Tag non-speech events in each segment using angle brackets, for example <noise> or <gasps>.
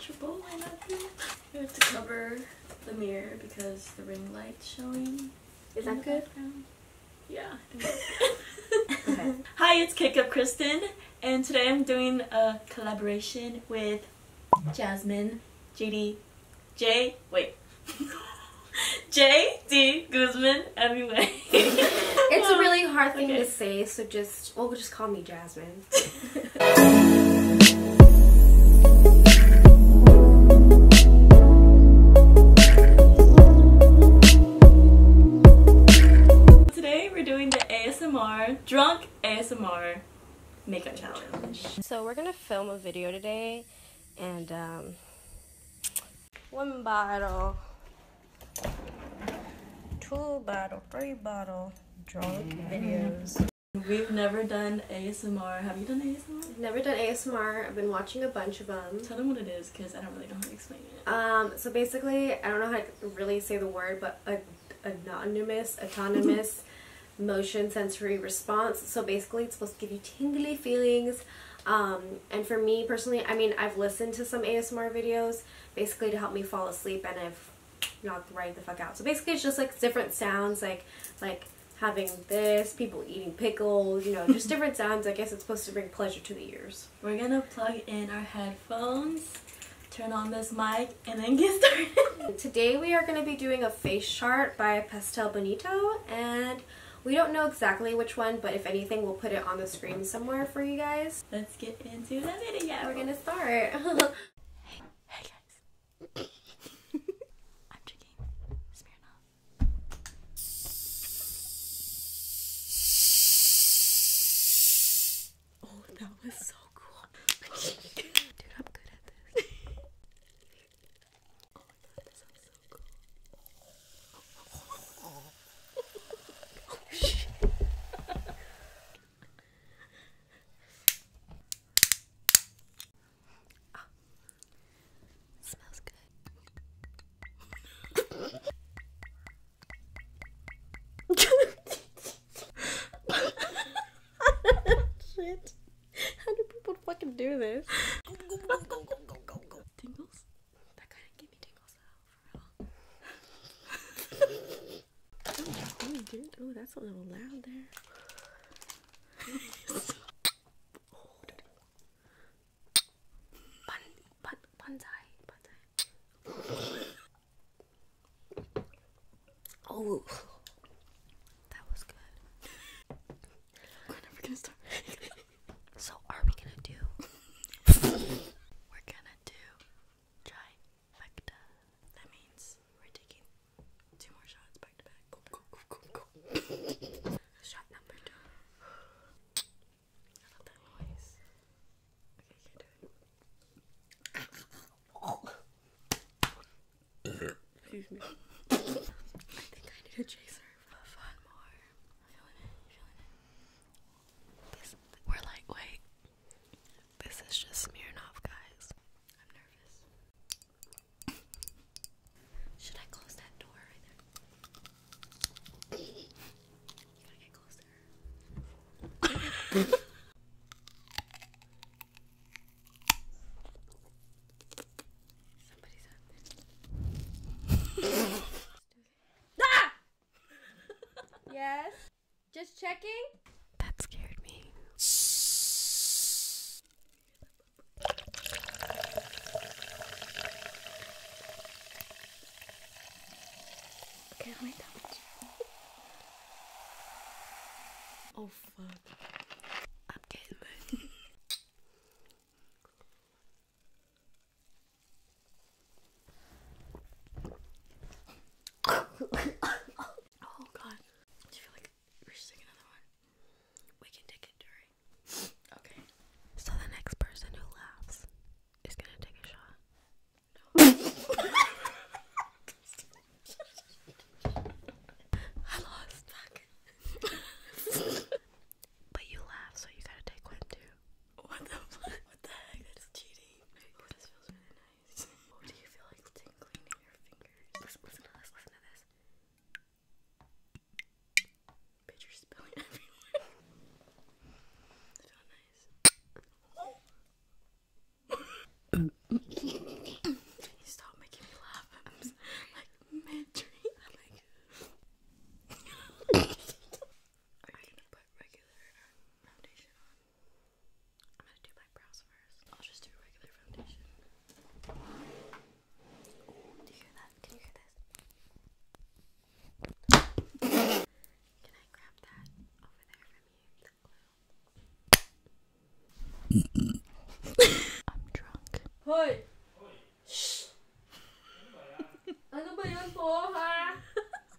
Triple, I love you. have to cover the mirror because the ring light's showing. Is that good? Yeah. <laughs> Hi, it's Kick Up Kristen, and today I'm doing a collaboration with Jasmine, JD, J, wait. <laughs> J.D. Guzman, anyway. it's a really hard thing to say, so just, well, just call me Jasmine. <laughs> we're doing the ASMR drunk ASMR makeup challenge. So we're gonna film a video today and um, one bottle two bottle, three bottle drunk mm-hmm. videos. We've never done ASMR. Have you done ASMR? Never done ASMR. I've been watching a bunch of them. Tell them what it is because I don't really know how to explain it. Um, so basically, I don't know how to really say the word, but a, anonymous, autonomous <laughs> motion sensory response. So basically, it's supposed to give you tingly feelings. Um, and for me personally, I mean, I've listened to some ASMR videos basically to help me fall asleep, and I've knocked right the fuck out. So basically it's just like different sounds like like having this, people eating pickles, you know, just <laughs> different sounds. I guess it's supposed to bring pleasure to the ears. We're gonna plug in our headphones, turn on this mic, and then get <laughs> started. Today we are gonna be doing a face chart by Pastel Bonito, and we don't know exactly which one, but if anything, we'll put it on the screen somewhere for you guys let's get into the video. Yeah, We're gonna start. hey, guys. Oh, that was so cool. Dude, I'm good at this. Oh my god, so cool smells good. Shit. How do people fucking do this? Tingles? That kind of gave me tingles for oh, that's a little loud there. oh, that was good. We're never gonna start. so, are we gonna do? <laughs> We're gonna do trifecta. That means we're taking two more shots back to back. Go, go, go, go, go. Shot number two. I love that noise. Okay, you can do it. Excuse me. I think I need a chaser. Fun more. Feeling it, feeling it. we're lightweight. This is just Smirnoff, guys. I'm nervous. Should I close that door right there? get closer. <laughs> Somebody's out there. <laughs> ah! yes? Just checking. That scared me. Oh fuck. i <laughs> oh god. Do you feel like we should take another one? We can take it, Okay. So the next person who laughs is gonna take a shot. I lost but you laugh, so you gotta take one too. What the what the heck? That's cheating. Oh, this feels really nice. oh, do you feel like tingling in your fingers? Listen, listen to this, listen to this. Bitch, you're spilling everywhere. I feel nice. Can stop making me laugh? I'm like mid-dream. <laughs> I'm like... <laughs> <laughs> Are you gonna put regular um, foundation on? I'm gonna do my brows first. I'll just do regular foundation. do you hear that? Can you hear this? Can I grab that over there from you? That glue. I'm drunk. Hey. Shh. <laughs> <laughs>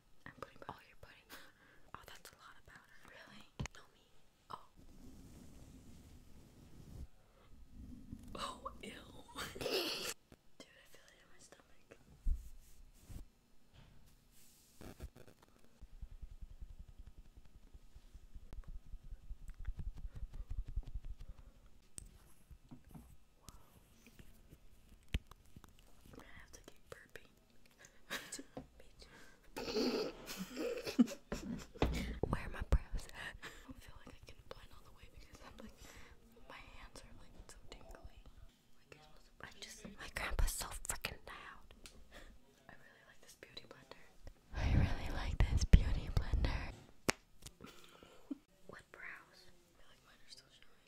I'm putting all your pudding. Oh, that's a lot of powder. Really? No me. Oh. Oh, ew. <laughs> Dude, I feel it in my stomach. Whoa. i have to keep burping. Where are my brows I feel like I can blend all the way because I'm like, my hands are like so tingly. i just, my grandpa's so freaking loud. I really like this beauty blender. I really like this beauty blender. <laughs> what brows? I feel are still showing.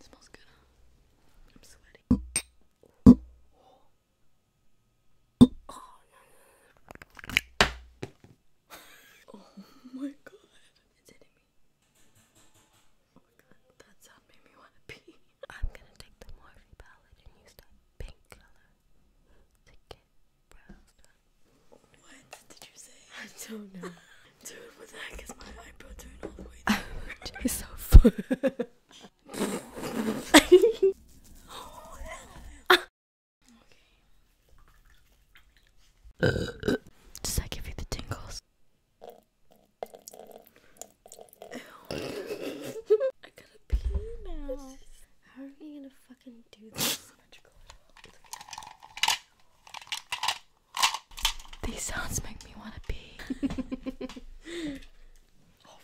smells good, huh? I'm sweaty. Oh my god. Oh my god. That sound made me want to pee. I'm gonna take the Morphe palette and use that pink color to get brows done. What did you say? I don't know. <laughs> Dude, what the heck is my eyebrow <laughs> doing It's so oh, <laughs> Does that give you the tingles? <laughs> I gotta pee now. How are you gonna fucking do this? These sounds make me want to pee. <laughs> oh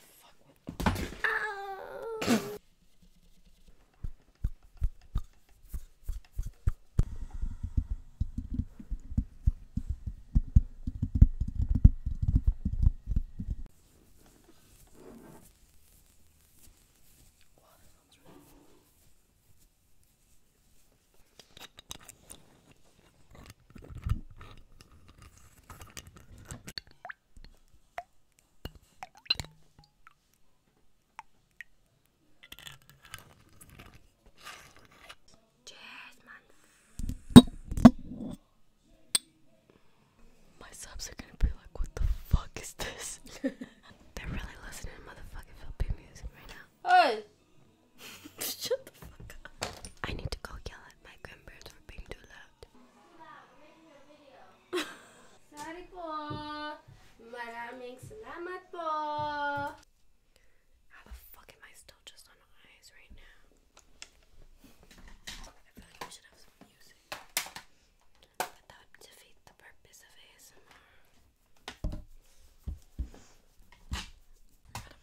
fuck. Cheers, man. My subs are gonna be like, what the fuck is this? <laughs> They're really listening to motherfucking Philippine music right now. Hey! <laughs> Shut the fuck up. I need to go yell at my grandparents for being too loud. Sorry po. Maraming salamat po. How the fuck am I still just on eyes right now? I feel like we should have some music. But that would the purpose of ASMR. I gotta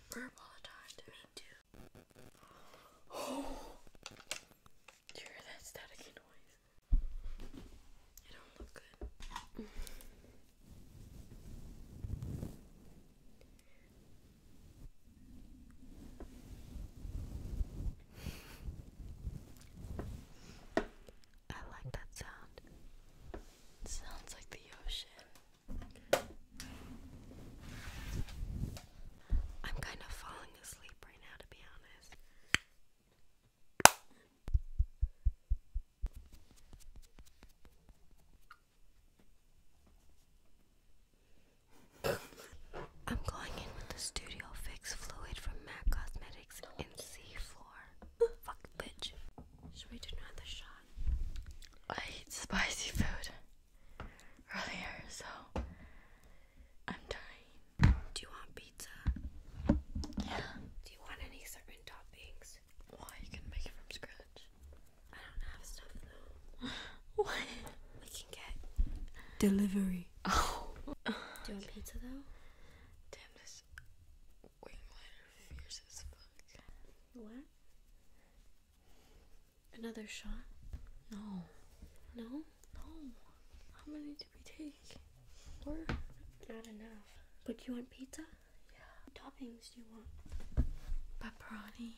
burp all the time do you hear that static noise? It don't look good. I like that sound. sounds like the ocean. I'm kind of falling asleep right now, to be honest. I'm going in with the Studio Fix fluid from MAC Cosmetics in C4. Fuck, bitch. Should we do another shot? I ate spicy food earlier, so I'm dying. Do you want pizza? Yeah. Do you want any certain toppings? Why? You can make it from scratch. I don't have stuff though. <laughs> what? We can get delivery. Oh. Do you want pizza though? <laughs> Damn this wing Fierce as fuck. What? Another shot? No. No? No. How many did we take? Four? Not enough. But you want pizza? Yeah. toppings do you want? Pepperoni.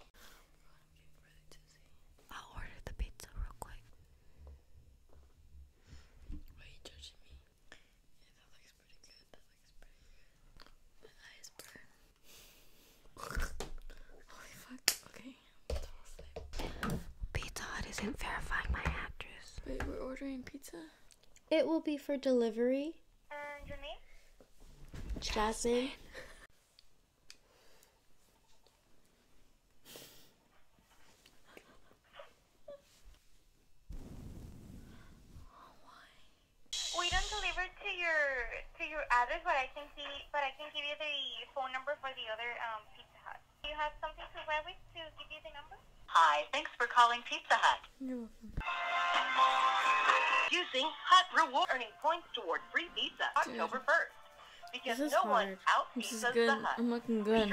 I'll order the pizza real quick. are you judging me? <laughs> Okay. Pizza Hut isn't verifying my address. Wait, we're ordering pizza? It will be for delivery. And your name? Jasmine. <laughs> We don't deliver to your to your address, but I can see, but I can give you the phone number for the other um, Pizza Hut. Do you have something to wear with to give you the number? Hi, thanks for calling Pizza Hut. Using Hut Reward, earning points toward free pizza October first because this is no hard. one this is good. I'm looking good.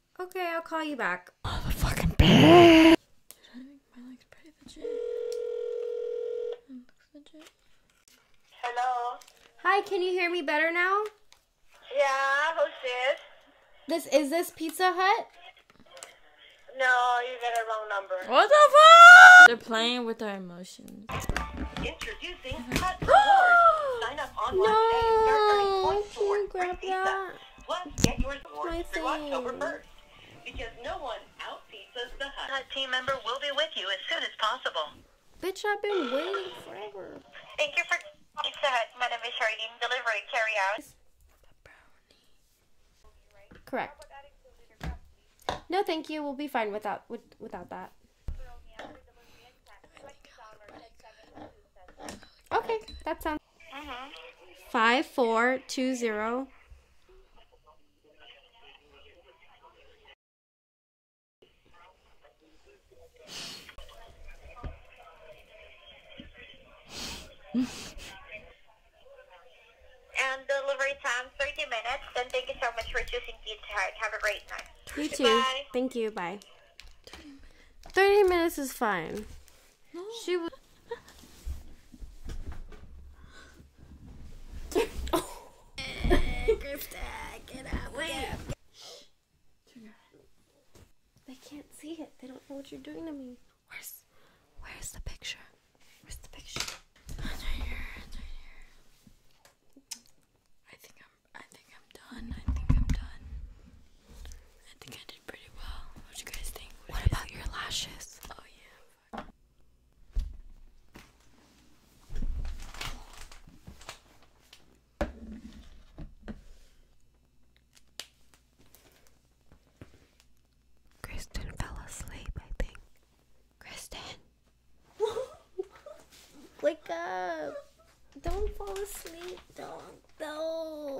Okay, I'll call you back. The Motherfucking bitch. Hello. Hi, can you hear me better now? Yeah, who's this? This is this Pizza Hut? No, you got a wrong number. What the fuck? They're playing with our emotions. Introducing Hut Rewards. Sign up online <gasps> no, points towards free pizza. Plus, get yours awards through October 1st. Because no one outpizzas the Hut. team member will be with you as soon as possible. Bitch, I've been waiting forever. Thank you for Pizza Hut. My name is Charlene. Delivery, carry out. Correct. No, thank you. We'll be fine without without that. Okay, that sounds. Five four two zero. and delivery time 30 minutes. And thank you so much for choosing Pizza Hut. Have a great night. You Goodbye. too. Thank you. Bye. 30 minutes is fine. She was. oh. They can't see it. They don't know what you're doing to me. Where's, where's the picture? Where's the picture? I think I'm. I think I'm done. I think I'm done. What about your lashes? Oh, Kristen fell asleep, I think. Kristen! <laughs> Wake up! Don't fall asleep, do dog. No.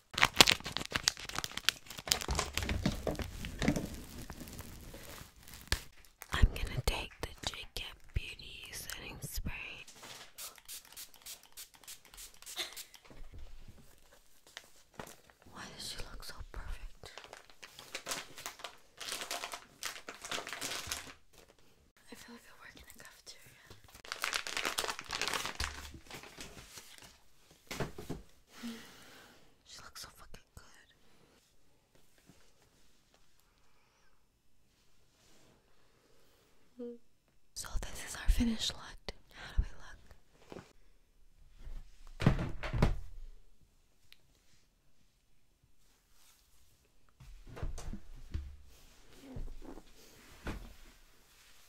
I'm gonna take the Jacob Beauty setting spray. Why does she look so perfect? I feel like I work in a cafeteria. She looks so fucking good. So this is our finished look. How do we look?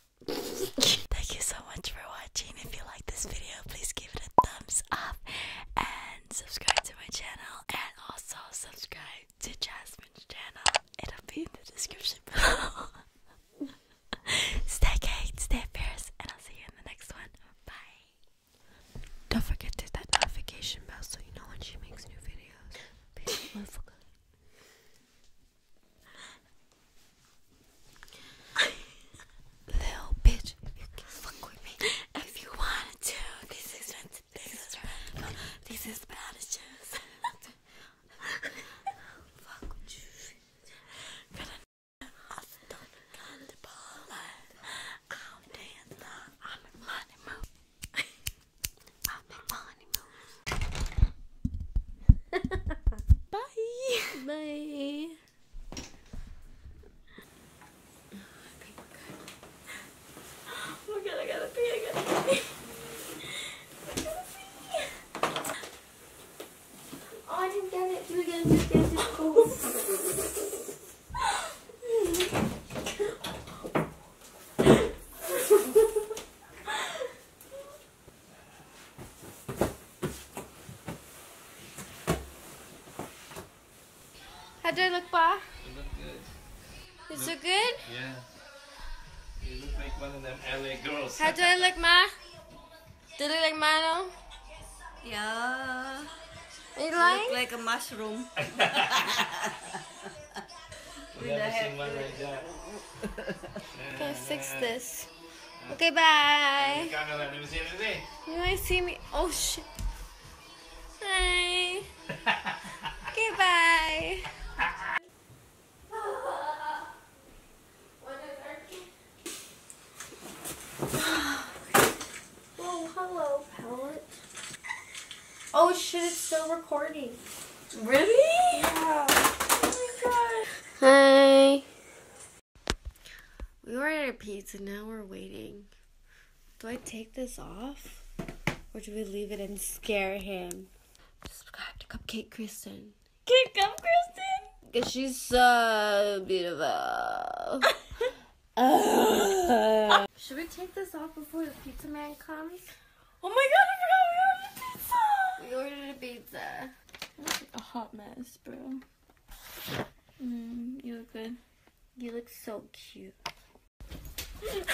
<laughs> Thank you so much for watching. If you like this video, please give it a thumbs up and subscribe to my channel and also subscribe to Jasmine's channel. It'll be in the description below. <laughs> stay cake, stay fierce, and I'll see you in the next one. Bye. Don't forget to that notification bell so you know when she makes new videos. <laughs> Little bitch, you can fuck with me if you wanted to. This is this is bad. This is bad shoes. fuck with you. Gonna the gun I'm dancing. I'm a money move. I'm a money move. <laughs> Bye. Bye. Oh my I gotta pee, I gotta pee. Oh, I didn't get it. Do it again, do it again, do it again. How do I look, Pa? You look good. Is look, Yeah. You look like one of them LA girls. How do I look, Ma? Do I look like Mano? Yeah. You, you like? look like a mushroom. <laughs> <laughs> we never seen one fix this? Okay, bye. You want to see me? Oh, shit. Bye. <laughs> okay, bye. oh, hello, Pellet. Oh, shit, it's still recording. Really? Yeah. Oh my god. Hi. We ordered a pizza, now we're waiting. Do I take this off? Or do we leave it and scare him? Subscribe to Cupcake Kristen. Cake Cup Because she's so beautiful. <laughs> Should we take this off before the pizza man comes? Oh my god, we ordered a pizza! We ordered a pizza. a hot mess, bro. Mm, you look good. You look so cute. <laughs> we ordered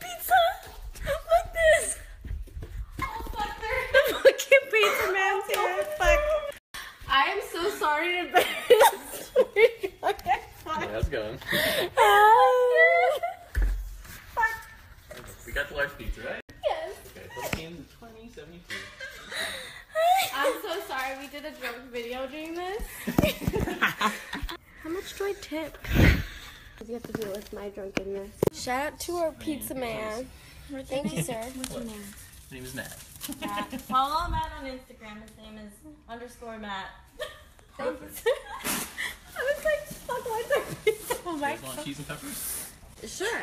pizza! Look this! the <laughs> fucking pizza man's <laughs> here. Fuck. I am so sorry to embarrass Okay, ah. fuck. Yeah, that's going. We got the large pizza, right? Yes. Okay, 15 20, 72. <laughs> I'm so sorry we did a drunk video doing this. <laughs> How much do I tip? You have to do with my drunkenness. Shout out to our pizza man. Thank you, sir. What's your name? My name is Matt. Matt. Follow Matt on Instagram. His name is underscore Matt. <laughs> Thank you. <laughs> I was like, fuck, why is there pizza on my want cheese and peppers? Sure.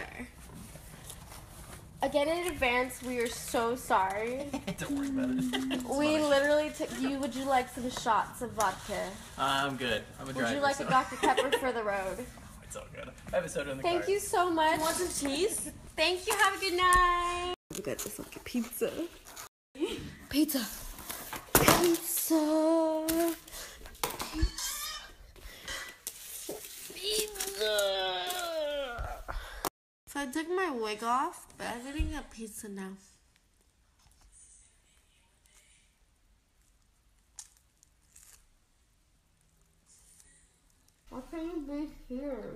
Again, in advance, we are so sorry. <laughs> Don't worry about it. we literally took you. Would you like some shots of vodka? I'm good. I'm a driver. Would you like a Dr. Pepper for the <laughs> road? It's all good. I have a soda in the car. Thank you so much. want some cheese? Thank you. Have a good night. We got this like a pizza. Pizza. Pizza. Pizza. Pizza. So I took my wig off, but I'm gonna get pizza now. Why can you be here?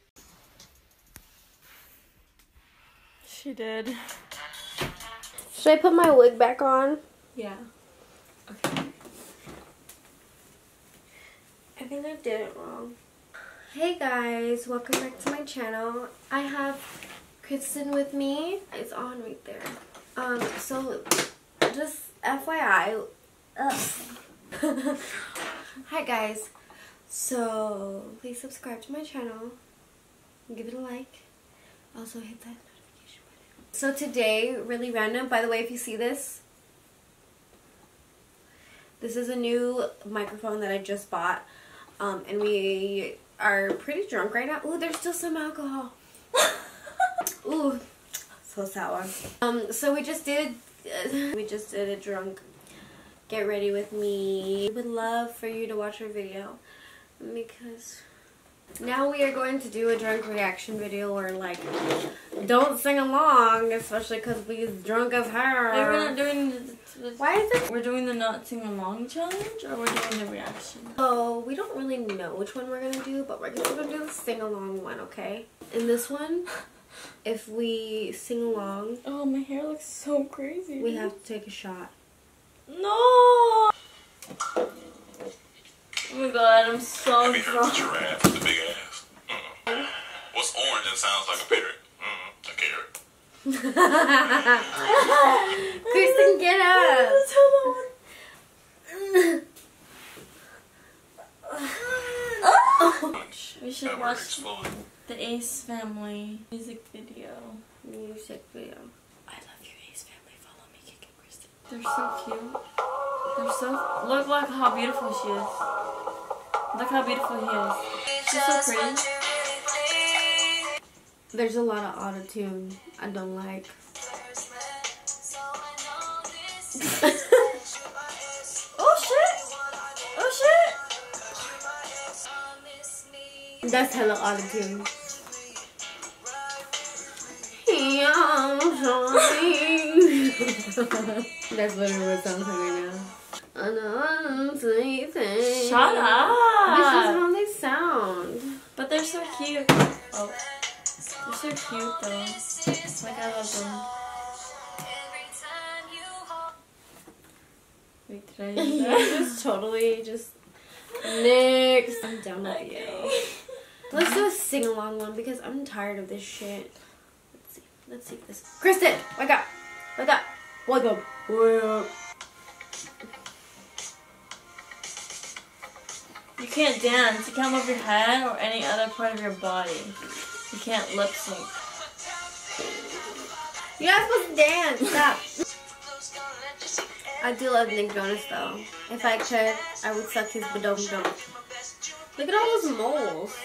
She did. Should I put my wig back on? Yeah. Okay. I think I did it wrong. Hey guys, welcome back to my channel. I have Kristen with me. It's on right there. Um, so just FYI. <laughs> Hi guys. So please subscribe to my channel, give it a like, also hit that notification button. So today, really random, by the way if you see this, this is a new microphone that I just bought um, and we are pretty drunk right now. Ooh, there's still some alcohol. <laughs> Ooh, so sour. Um, so we just did, <laughs> we just did a drunk get ready with me. We would love for you to watch our video because now we are going to do a drunk reaction video where like don't sing along, especially because we drunk as hell. we're not doing. Why is it? We're doing the not sing along challenge, or we're doing the reaction. Oh, we don't really know which one we're gonna do, but we're gonna do the sing along one, okay? in this one, if we sing along. Oh, my hair looks so crazy. We have to take a shot. No! Oh my god, I'm so drunk. The giraffe with the big ass. Mm-hmm. What's orange and sounds like a parrot? Mm, a carrot. Kristen, get up! <laughs> we should watch the Ace Family music video. Music video. I love you, Ace Family. Follow me, Kick They're so cute. They're so. Look, like how beautiful she is. Look how beautiful he is. She's so pretty. There's a lot of auto tune I don't like. <laughs> <laughs> Oh shit! Oh shit! That's hella auto <laughs> tune. That's what it was sounds like right now. Shut up! This is how they sound. But they're so cute. Oh. They're so cute though. Like I love them. Wait, did I just <laughs> totally just mixed? I'm done with you. <laughs> Let's do a sing along one because I'm tired of this shit. Let's see. Let's see this. Kristen, wake up. Wake up. Wake up. Wake up. You can't dance. You can't move your head or any other part of your body. You can't lip sync you guys not supposed to dance. Stop. I do love Nick Jonas though. If I could, I would suck his badom dom. Look at all those moles.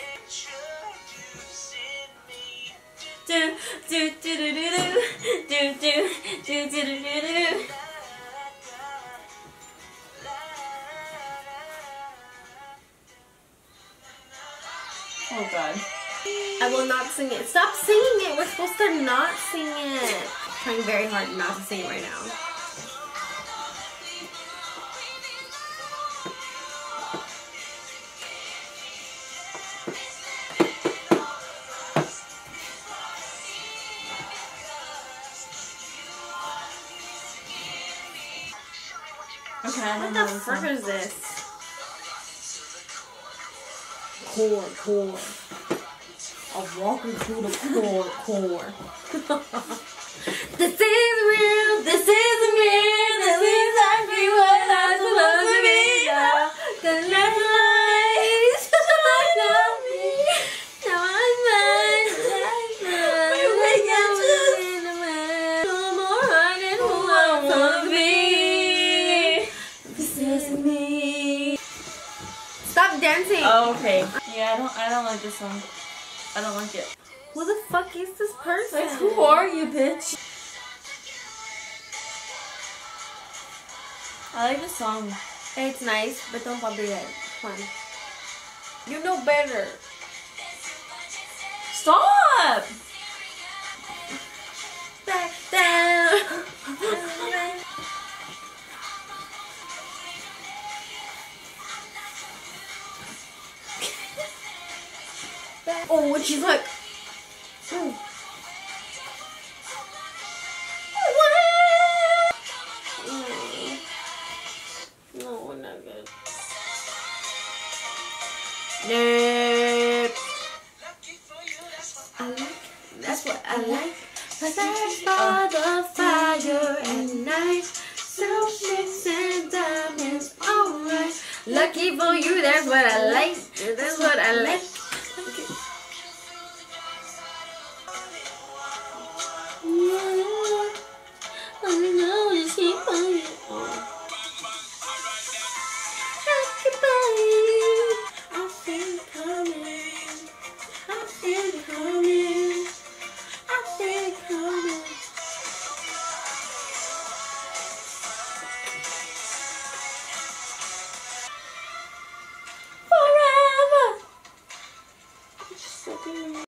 Oh god. I will not sing it. Stop singing it. We're supposed to not sing it. I'm trying very hard not to sing right now. Okay, what the frick is this? Core, core. I'm walking through the core, core. <laughs> this is real, this is me, this is exactly what I'm supposed to be. Cause that's life, I love me, now I'm Stop dancing. okay. Yeah, I don't. I don't like this song. I don't like it. Who the fuck is this person? Like, who are you, bitch? I like the song. It's nice, but don't bother copyright. Fun. You know better. Stop! Back down. oh, and she's like. Oh. No, we're not good. I like, that's what I like. Search for the fire at night. Selfishness and diamonds, alright. Lucky for you, that's what I like. That's what I like. I know you keep on you. Everybody, I feel it coming. I feel it coming. I feel it coming. Forever. It's just